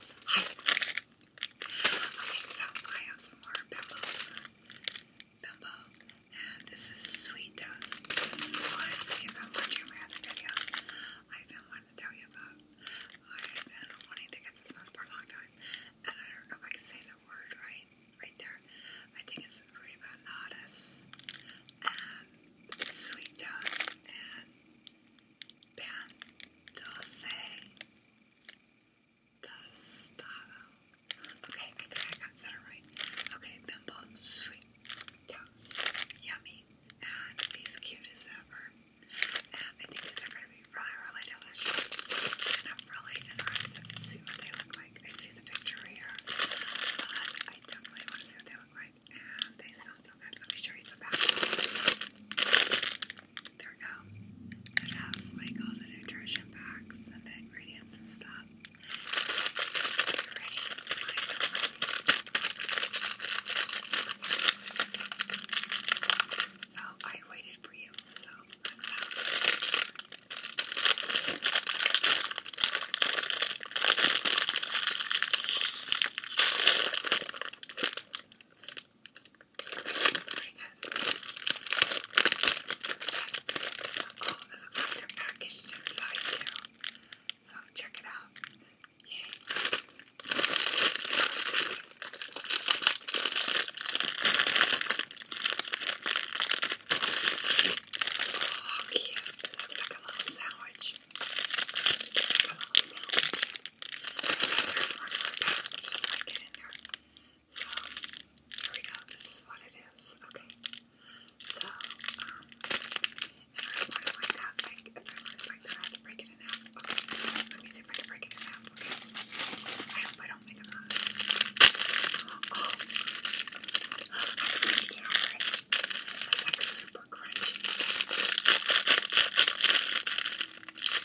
Hi. Okay, so I have some more bimbo. Bimbo. And this is sweet toast. This is one, if I'm watching my other videos, I've been wanting to tell you about. I've been wanting to get this one for a long time. And I don't know if I can say the word right, right there. I think it's rebanadas. And sweet toast. And Bandose Tostado. Okay, I got that right. Okay, bimbo, sweet toast, yummy, and he's cute as ever. And I think these are going to be really, really delicious. And I'm really interested to see what they look like. I see the picture here, but I definitely want to see what they look like. And they sound so good. Let me show you some back. There we go. It has like all the nutrition packs the ingredients and stuff. you So I waited for you, so Oh, it looks like they're packaged inside too. So check it out. Oh, cute. It looks like a little sandwich. So, here we go. This is what it is. Okay. So, um, and I want it like that. I want it like that, I have to break in half. let me see if I can break it in half. Okay. I hope I don't make a mess. Oh. It's like super crunchy.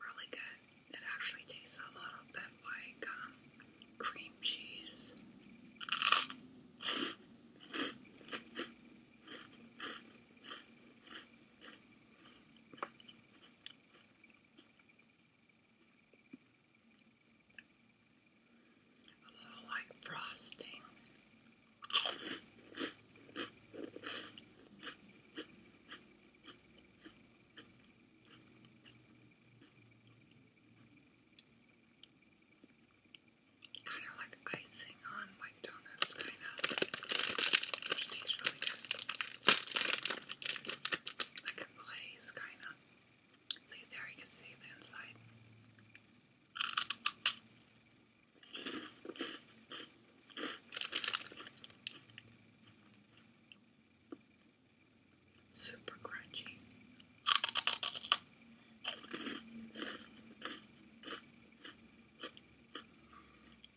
Really good. It actually tastes a little bit like um, cream cheese. A little like frosting. Kind of like icing on like that's kind of, which tastes really good. Like a glaze, kind of. See, there you can see the inside. Super crunchy.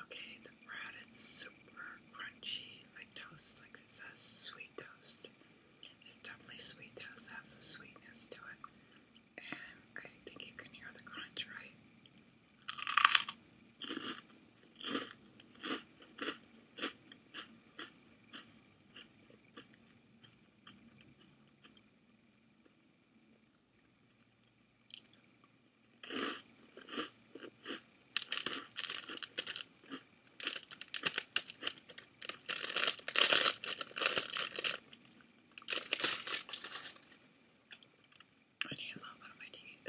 Okay, the bread is super crunchy, like toast, like it says, sweet toast. It's definitely sweet toast, has a sweetness to it. And I think you can hear the crunch, right? I need a little bit of my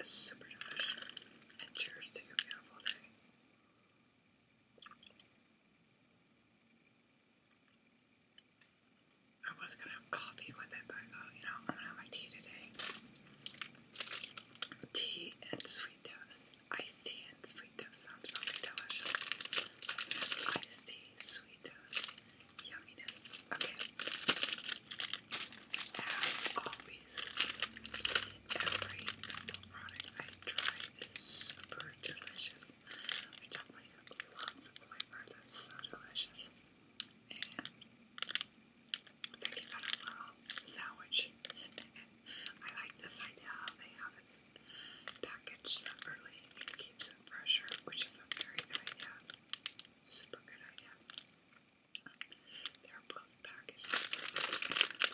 super delicious. And cheers to your beautiful day. I was gonna have coffee with it, but I go, you know, I'm gonna have my tea today. Tea and sweet toast. Iced and sweet toast sounds really delicious. Iced sweet toast. Yumminess. Okay. As always, every product I try is super delicious. I definitely love the flavor, that's so delicious. And I got a little sandwich. I like this idea how they have it packaged separately. keeps it fresher, which is a very good idea. Super good idea. They're both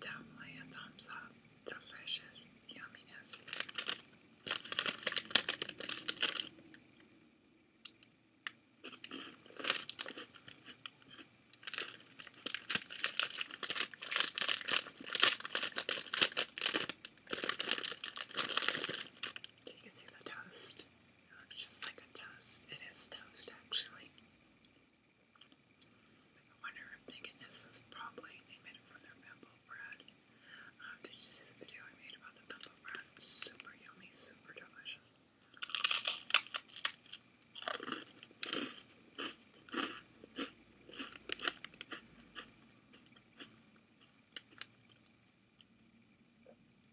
Definitely a thumbs up. Delicious yumminess. So you can see toast. It looks just like toast. It is toast, actually. I wonder, am thinking this is probably, they made it from their bamboo um, did you see the video I made about the bamboo Super yummy, super delicious.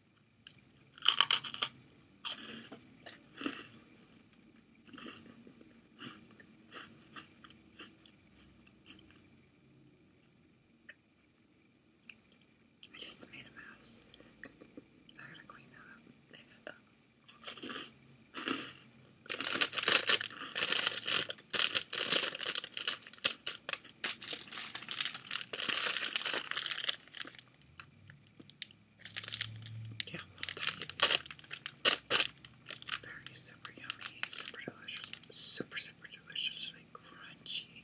I just made a mess. I gotta clean that up. I gotta yeah, very super yummy, super delicious, super super deliciously crunchy,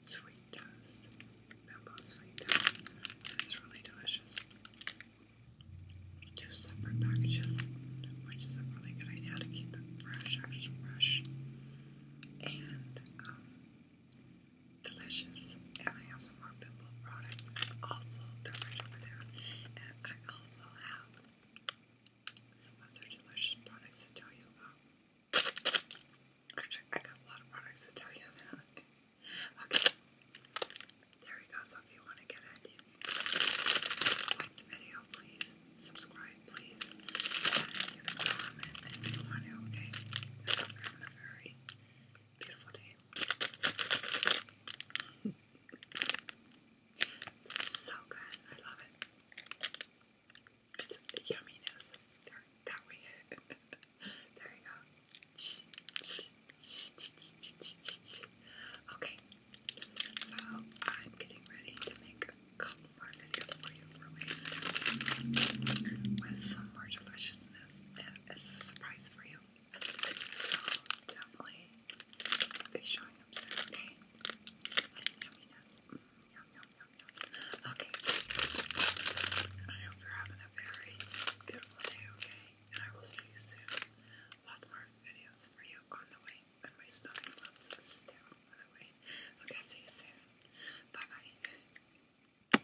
sweet toast, bamboo sweet toast. It's really delicious. Two separate packages, which is a really good idea to keep it fresh, extra fresh, and um, delicious. And I have some more pimple products. Also, right over there. And I also have some other delicious products to tell you about. Actually, I got a lot of products to tell you about. okay. There you go. So if you want to get it, like the video, please. Subscribe, please. And you can comment if you want to, okay? I'm very Beautiful day. so good. I love it. It's yumminess. There, we way. there you go. Okay. So I'm getting ready to make a couple more videos for you really soon with some more delicious it's a surprise for you. So definitely be showing up soon, okay? yum, yum, yum, yum. Okay. I hope you're having a very beautiful day, okay? And I will see you soon. Lots more videos for you on the way. And my stomach loves this too, by the way. Okay, see you soon. Bye bye.